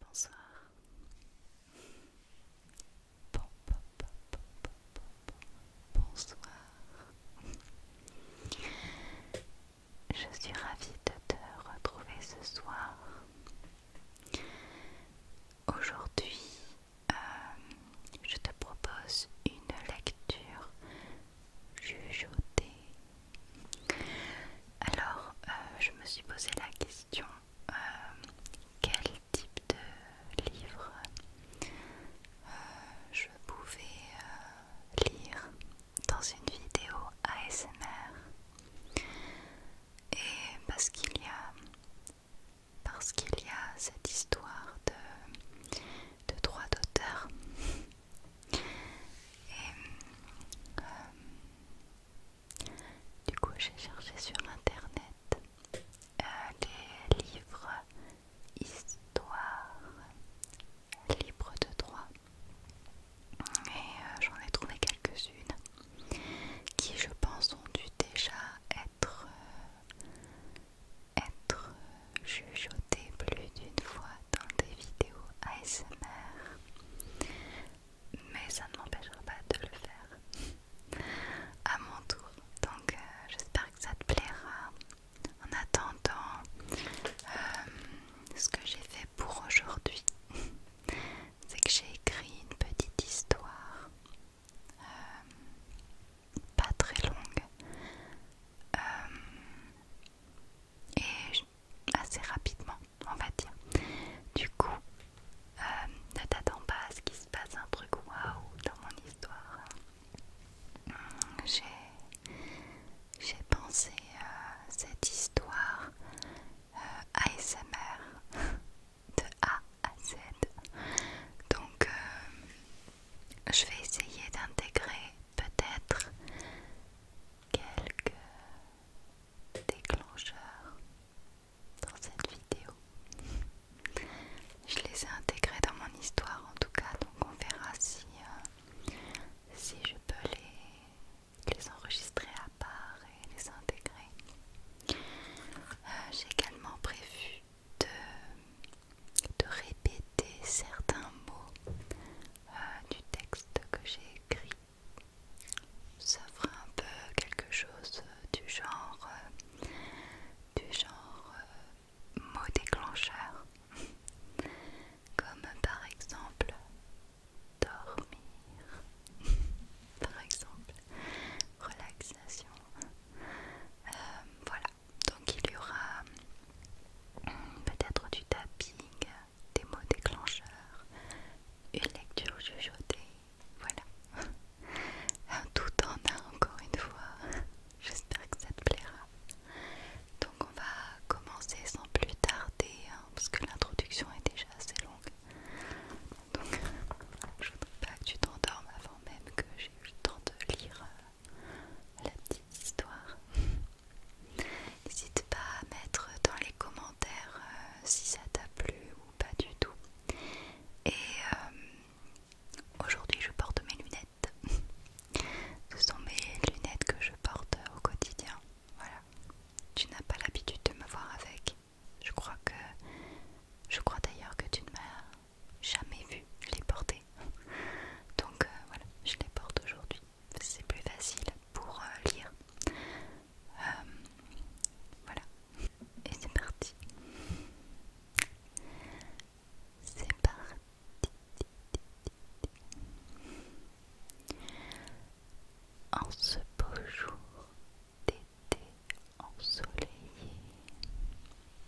Bonsoir. bonsoir. Je suis ravie de te retrouver ce soir. Aujourd'hui, euh, je te propose une lecture jugeautée Alors, euh, je me suis posé la question euh, quel type de livre je pouvais lire dans une vidéo ASMR et parce qu'il y a parce qu'il y a cette histoire de de droit d'auteur. Et euh, du coup, j'ai cherché sur internet des euh, livres histoire libre de droit et euh, j'en ai trouvé quelques-unes qui, je pense, ont dû déjà être être, plus d'une fois dans des vidéos ASMR, mais ça ne m'empêchera pas de le faire à mon tour. Donc euh, j'espère que ça te plaira. En attendant, euh, ce que j'ai fait pour aujourd'hui, c'est que j'ai écrit une petite histoire. Euh, pas très longue euh, et assez rapidement, on va dire. Du coup, euh, ne t'attends pas à ce qu'il se passe un truc waouh dans mon histoire. Hum, j'ai pensé euh, cette histoire ASMR de A à Z. Donc, je vais essayer d'intégrer peut-être quelques déclencheurs dans cette vidéo. Je les ai intégrés dans mon histoire en tout cas, donc on verra si, euh, si je peux les, les enregistrer à part et les intégrer. Euh, j'ai également prévu de, répéter certains mots euh, du texte que j'ai écrit. Ça fera un peu quelque chose euh, du genre, euh, du genre mot déclencheur, comme par exemple dormir, par exemple relaxation. voilà, donc il y aura hum, peut-être du tapping, des mots déclencheurs, une lecture chuchotée, voilà. Tout en un encore une fois. J'espère que ça te plaira. Donc on va commencer sans plus tarder, hein, parce que l'introduction est déjà assez longue. Donc je ne voudrais pas que tu t'endormes avant même que j'ai eu le temps de lire. Euh, la petite histoire. N'hésite pas à mettre dans les commentaires euh, si ça t'a plu ou pas du tout. Et euh, aujourd'hui, je porte mes lunettes. Ce sont mes lunettes que je porte au quotidien. Voilà. Tu n'as pas l'habitude de me voir avec. Je crois que. Je crois d'ailleurs que tu ne m'as jamais vu les porter. Donc euh, voilà, je les porte aujourd'hui. C'est plus facile pour euh, lire. Euh, voilà. Et c'est parti. C'est parti. En ce beau jour d'été ensoleillé,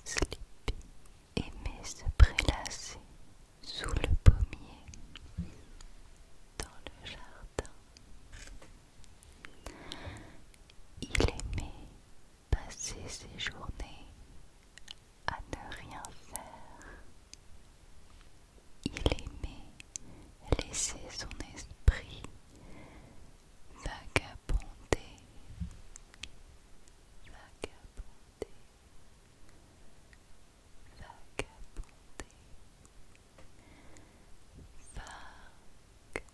sleepy, aimait se prélasser sous le pommier dans le jardin. Il aimait passer ses journées à ne rien faire. Il aimait laisser son esprit vagabonder, vagabonder, vagabonder, vagabonder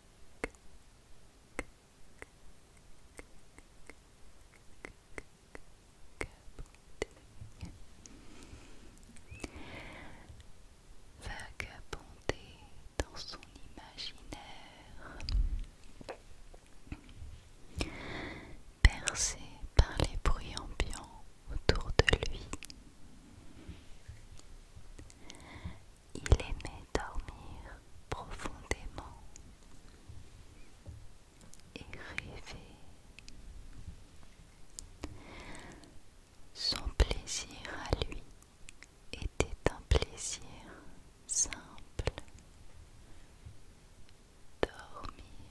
vagabonder dans son imaginaire, percé par les bruits ambiants autour de lui. Il aimait dormir profondément et rêver. Son plaisir à lui était un plaisir simple. Dormir,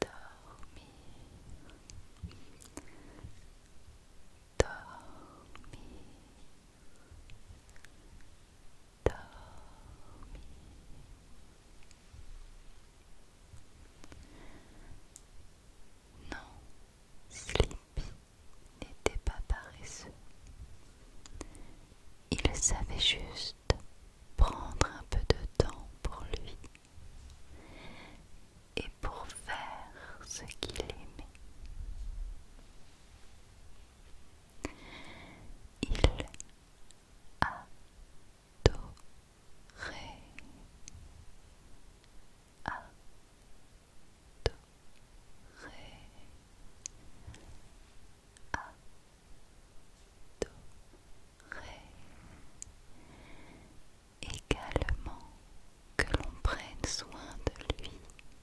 dormir, dormir, non, Sleepy n'était pas paresseux. Il savait juste prendre un peu de temps pour lui et pour faire ce qu'il aimait. Il a adorait, a adorait également que l'on prenne soin de lui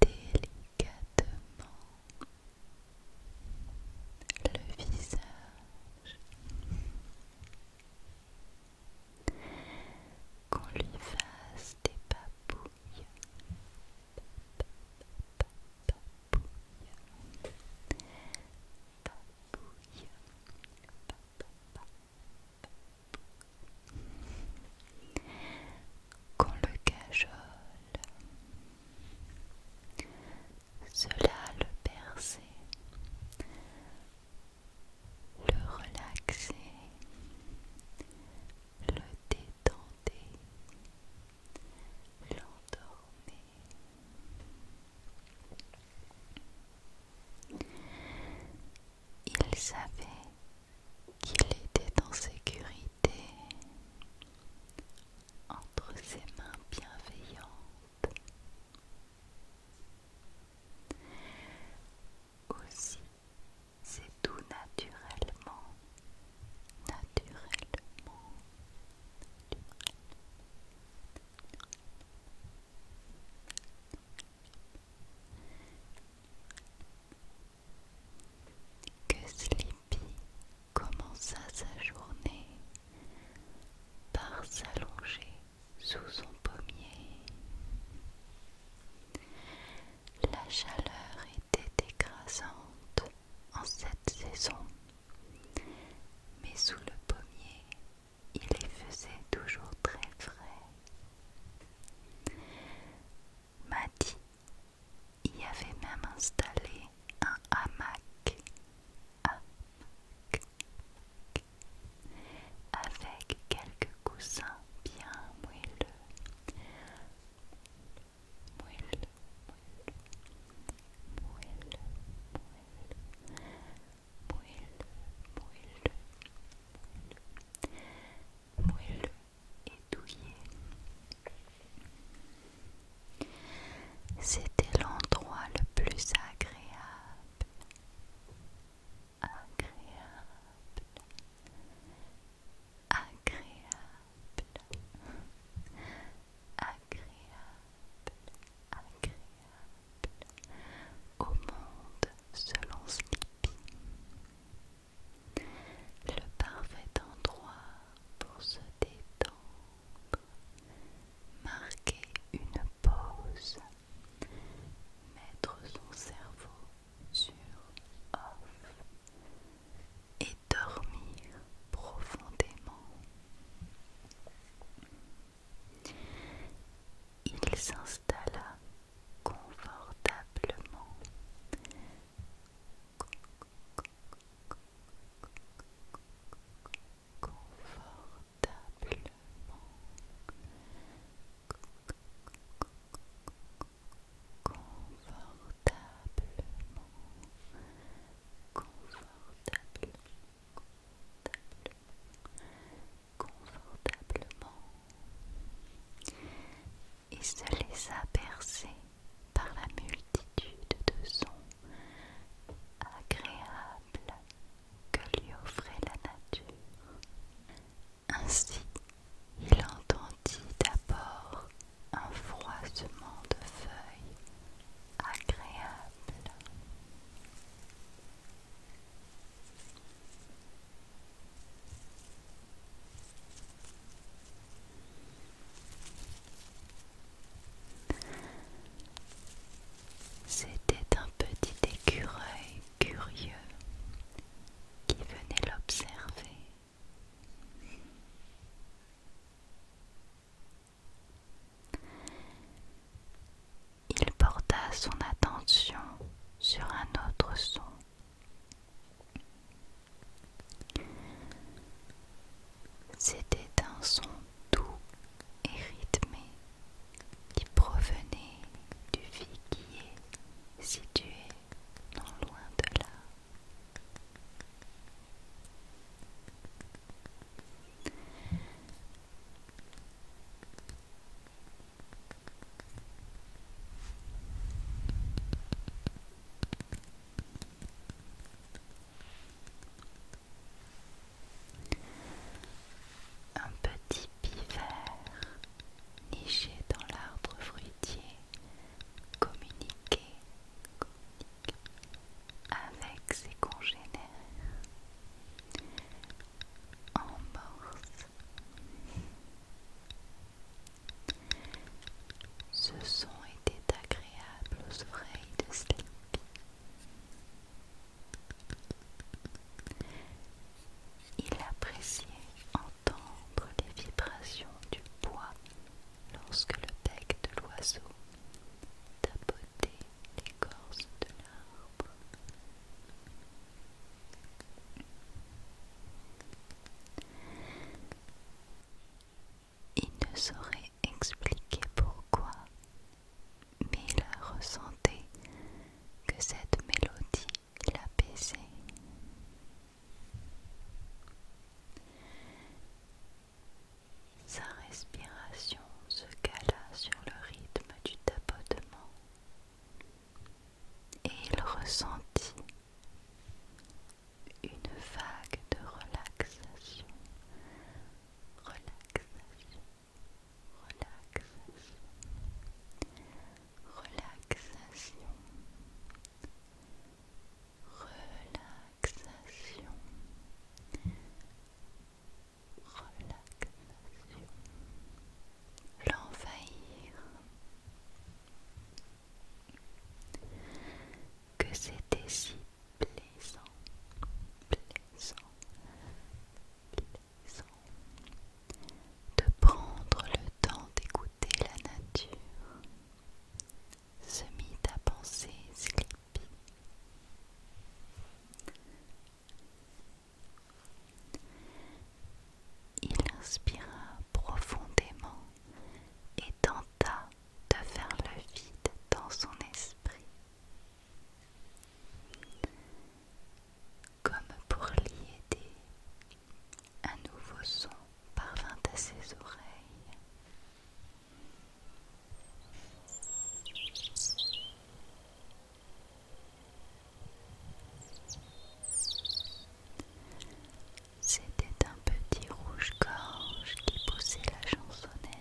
délicatement le visage, qu'on lui fasse des papouilles, qu'on le cajole. Cela le perçait, le relaxait, le détendait, l'endormait. Il savait qu'il était en sécurité entre ses mains bienveillantes. Aussi, c'est tout naturellement, naturellement, naturellement que Sleepy commença sa journée par s'allonger sous son pommier. La chaleur était écrasante en cette saison, mais sous le pommier, il y faisait toujours très frais. Maddy y avait même installé un hamac, hamac avec quelques coussins bien moelleux. Moelleux, moelleux, moelleux, moelleux, moelleux, moelleux, moelleux, moelleux, et C'était l'endroit le plus agréable, agréable, agréable, agréable, agréable au monde selon Skippy le parfait endroit pour se détendre, marquer une pause, mettre son cerveau sur off et dormir profondément. Il s'installa confortablement confortablement confortablement confortable confortablement et se laissa bercer par la multitude de sons agréables que lui offrait la nature. Ainsi, il entendit d'abord un froissement de feuilles agréable. C'était un petit écureuil curieux qui venait l'observer. Il porta son attention sur un autre son. C'était un son doux et rythmé qui provenait du figuier situé non loin de là. Un petit pivert niché dans l'arbre fruitier communiquait, avec ses congénères en morse. Ce son était agréable aux oreilles de Sleepy. Il appréciait entendre les vibrations du bois lorsque le bec de l'oiseau tapotait l'écorce de l'arbre. Il ne saurait expliquer pourquoi, mais il ressentait que cette mélodie l'apaisait. Sa respiration se cala sur le rythme du tapotement et il ressentit une vague de relaxation, relaxation, relaxation, relaxation, relaxation, relaxation, l'envahir que c'était si plaisant, plaisant, plaisant de prendre le temps d'écouter la nature, se mit à penser Sleepy. Il inspira profondément et tenta de faire le vide dans son esprit. Comme pour l'y aider, un nouveau son parvint à ses oreilles. C'était un petit rouge-gorge qui poussait la chansonnette.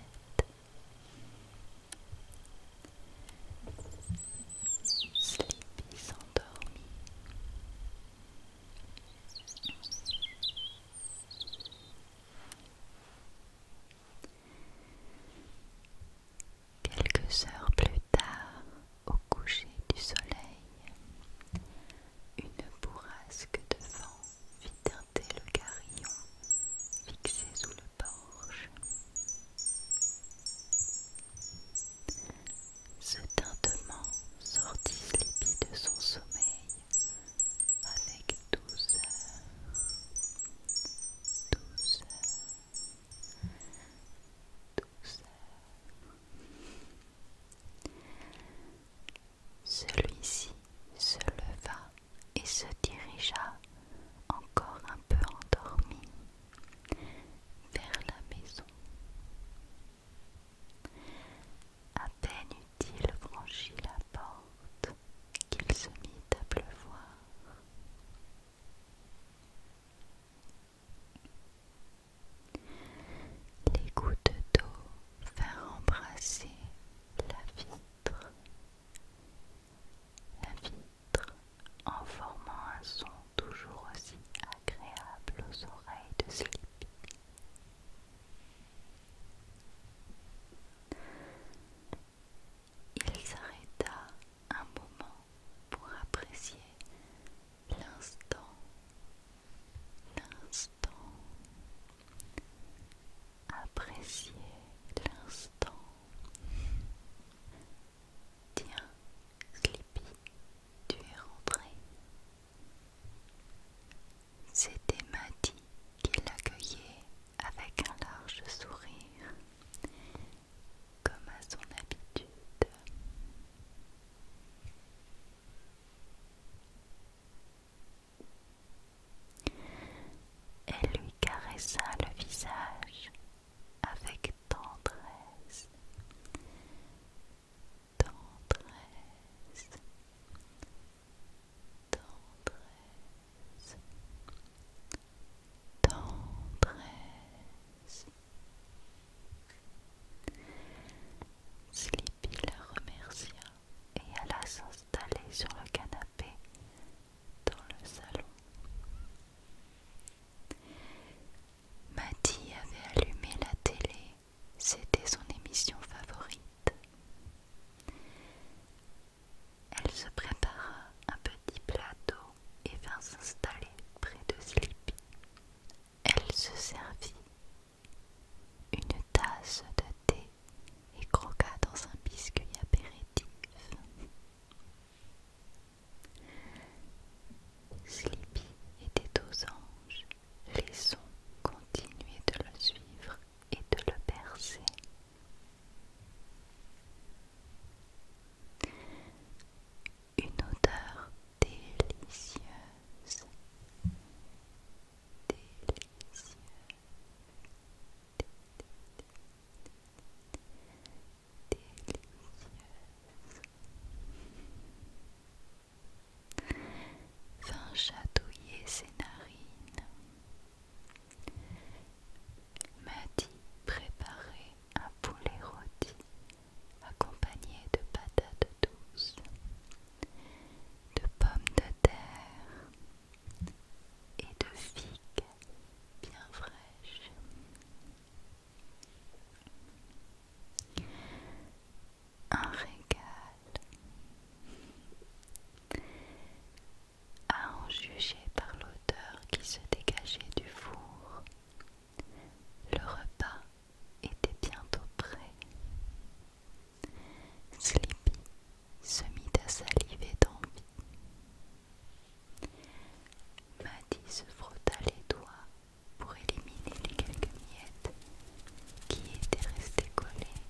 Sleepy s'endormit. Quelques heures plus tard, au coucher du soleil, une bourrasque de vent fit teinter le carillon fixé sous le porche. Ce tintement sortit Sleepy de son sommeil avec douceur, douceur, douceur. Celui-ci se leva et se dirigea, encore un peu endormi, vers la maison. À peine eut-il franchi la porte qu'il se mit à pleuvoir. Les gouttes d'eau faire embrasser la vitre, la vitre en formant un son toujours aussi agréable aux oreilles de Sleepy. Il s'arrêta un moment pour apprécier l'instant, l'instant Apprécié de l'instant. Tiens, Sleepy, tu es rentré. C'était Maddy qui l'accueillait avec un large sourire, comme à son habitude. Elle lui caressa le visage avec tendresse, tendresse, tendresse, tendresse. Il la remercia et alla s'installer sur le canapé dans le salon. Mathie avait allumé la télé, c'était son émission favorite. Elle se prépara un petit plateau et vint s'installer près de Sleepy. Elle se servit une tasse de thé et croqua dans un biscuit apéritif. Sleepy était aux anges. Les sons continuaient de le suivre et de le bercer. Une odeur délicieuse délicieux. Vint chatouiller ses narines. dit préparait un poulet rôti accompagné de patates douces de pommes de terre et de figues bien fraîches. Un régal à en juger par l'odeur qui se dégageait du four. Le repas était bientôt prêt. Sleepy se mit à saliver d'envie. Maddy se frotta les doigts pour éliminer les quelques miettes qui étaient restées collées.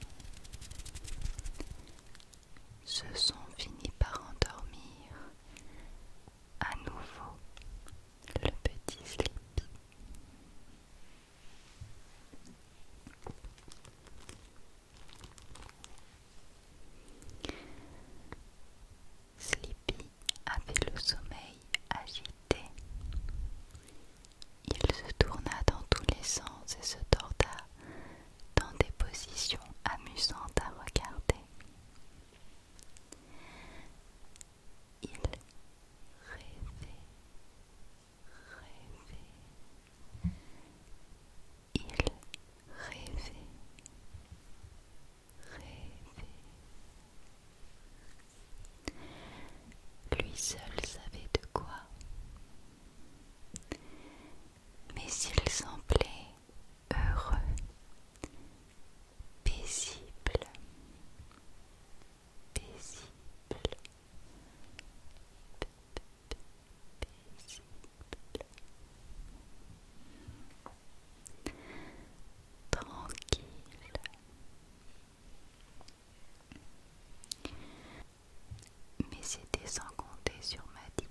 Ce sont finis par endormir à nouveau le petit Sleepy. Sleepy avait le sommeil agité. Il se tourna dans tous les sens et se torda dans des positions amusantes à regarder. Il rêvait. Il rêvait. Rêvait. Lui seul savait de quoi. Mais il semblait heureux, paisible paisible, paisible, tranquille. Mais c'était sans compter sur Maddy,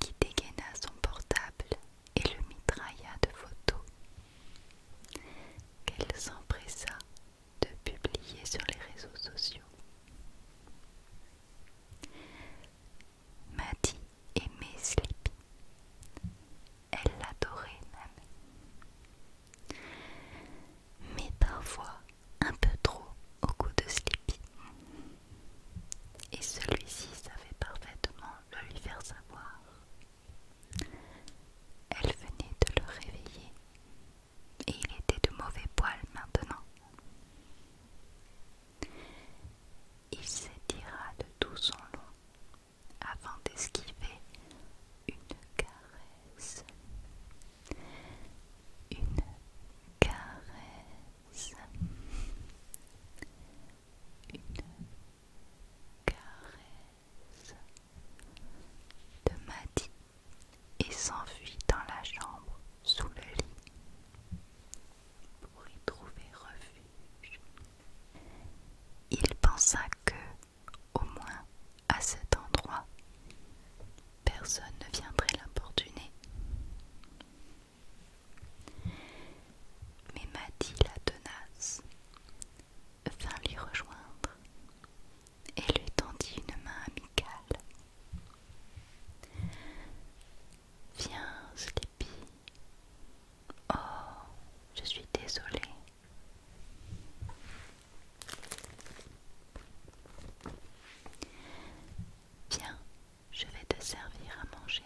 qui dégaina son portable et le mitrailla de photos. Qu'elle s'empressa de publier sur les réseaux sociaux. Maddy aimait Sleepy. Elle l'adorait même. Mais parfois un peu trop au goût de Sleepy. Et celui-ci savait parfaitement le lui faire savoir. Elle venait de le réveiller et il était de mauvais poil maintenant. Il s'étira de tout son long avant d'esquiver une caresse. Une caresse. Une caresse de Maddy et s'enfuit dans la chambre sous le lit pour y trouver refuge. Il pensa que, au moins à cet endroit, personne ne viendrait l'importuner. Mais Madi, la tenace vint l'y rejoindre et lui tendit une main amicale. Viens, Sleepy. Oh, je suis désolée. Viens, je vais te servir à manger.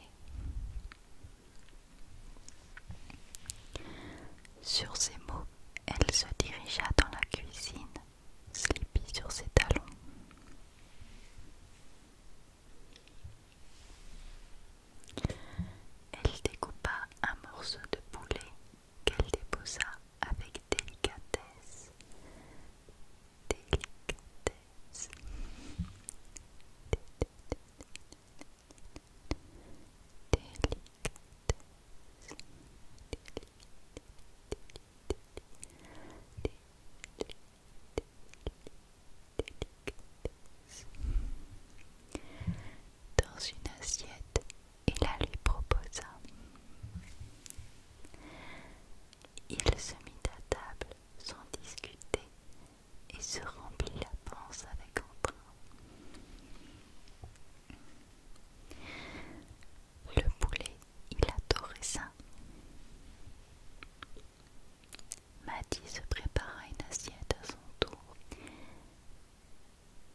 Sur ces mots, elle se dirigea dans la cuisine, slippy sur ses talons. Elle découpa un morceau de poulet qu'elle déposa avec délicatesse. Délicatesse. Délicatesse dans une assiette et la lui proposa. Il se mit à table sans discuter et se remplit la panse avec entrain. Le poulet, il adorait ça. Maddy se prépara une assiette à son tour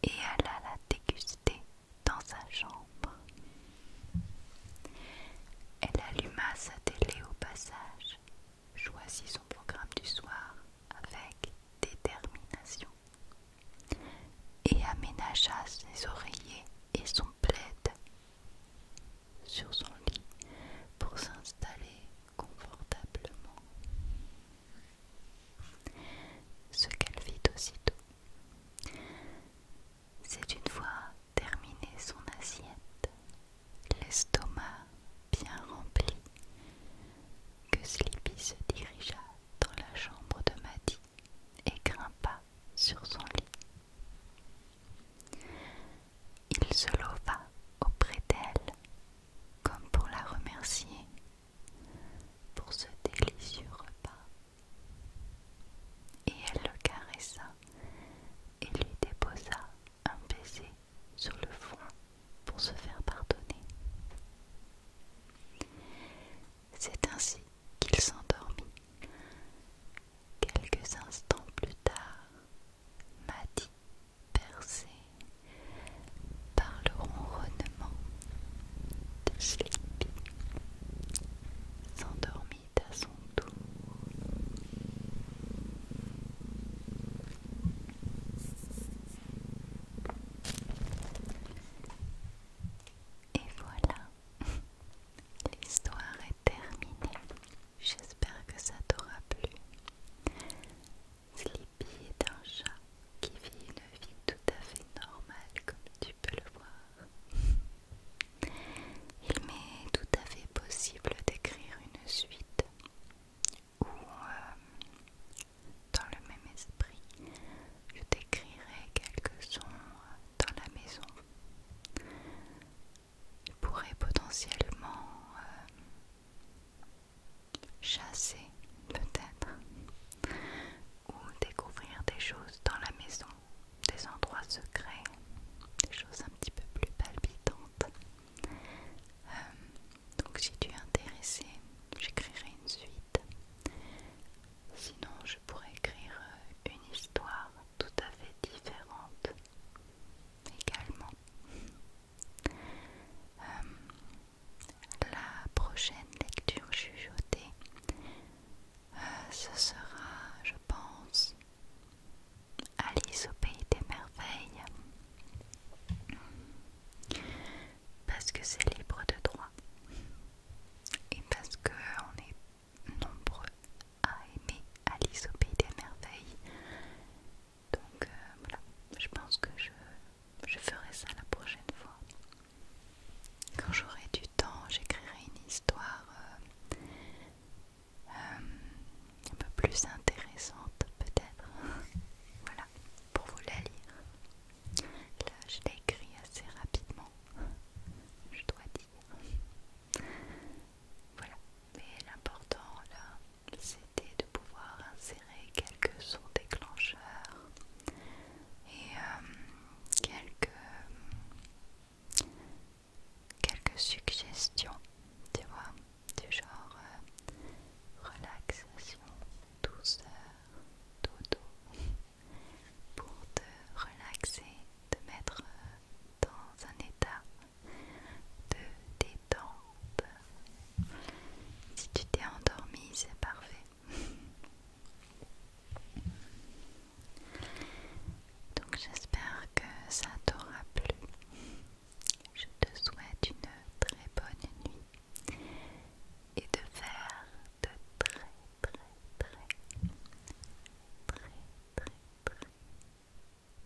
et alla la déguster dans sa chambre. Elle alluma sa télé au passage, choisit son programme du soir avec détermination et aménagea ses oreillers et son plaid sur son lit pour s'installer confortablement. Ce qu'elle fit aussitôt. C'est une fois terminé son assiette, l'estomac bien rempli, que Sleepy se dirigea dans la chambre de Maddy et grimpa sur son lit. Il se leva auprès d'elle, comme pour la remercier pour ce délicieux repas, et elle le caressa et lui déposa un baiser sur le front pour se faire pardonner. C'est ainsi qu'il s'endormit. Quelques instants plus tard, Maddy, percée par le ronronnement de Sleepy, s'endormit à son tour. Et voilà, l'histoire est terminée. J'espère que ça t'aura plu. Sleepy est un chat qui vit une vie tout à fait normale comme tu peux le voir. Il m'est tout à fait possible d'écrire une suite où euh, dans le même esprit, je t'écrirai quelques sons dans la maison. tu pourrais potentiellement euh, chasser, peut-être, ou découvrir des choses dans la maison, des endroits secrets, des choses un petit peu plus palpitantes. Euh, donc si tu es intéressé, j'écrirai une suite Sinon, je pourrais écrire euh, une histoire tout à fait différente également. Euh, la prochaine lecture chuchotée, euh, ce sera, je pense, Alice au pays des merveilles. Parce que c'est libre de droit et parce qu'on est nombreux à aimer Alice au pays des merveilles. Donc euh, voilà, je pense que je, ferai ça la prochaine fois. Quand j'aurai du temps, j'écrirai une histoire euh, euh, un peu plus intéressante peut-être. voilà, pour vous la lire. Là, je l'ai écrit assez rapidement, je dois dire. Voilà, mais l'important là, c'était de pouvoir insérer quelques sons déclencheurs et euh, quelques, quelques suggestions, tu vois, du genre euh, relaxation, douceur, dodo pour te relaxer, te mettre dans un état de détente. Si tu t'es endormi, c'est parfait. Donc j'espère que ça t'aura plu. Je te souhaite une très bonne nuit et de faire de très très très très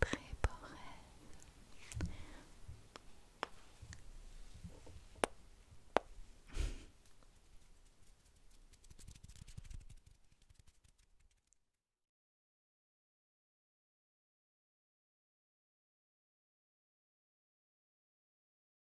très très très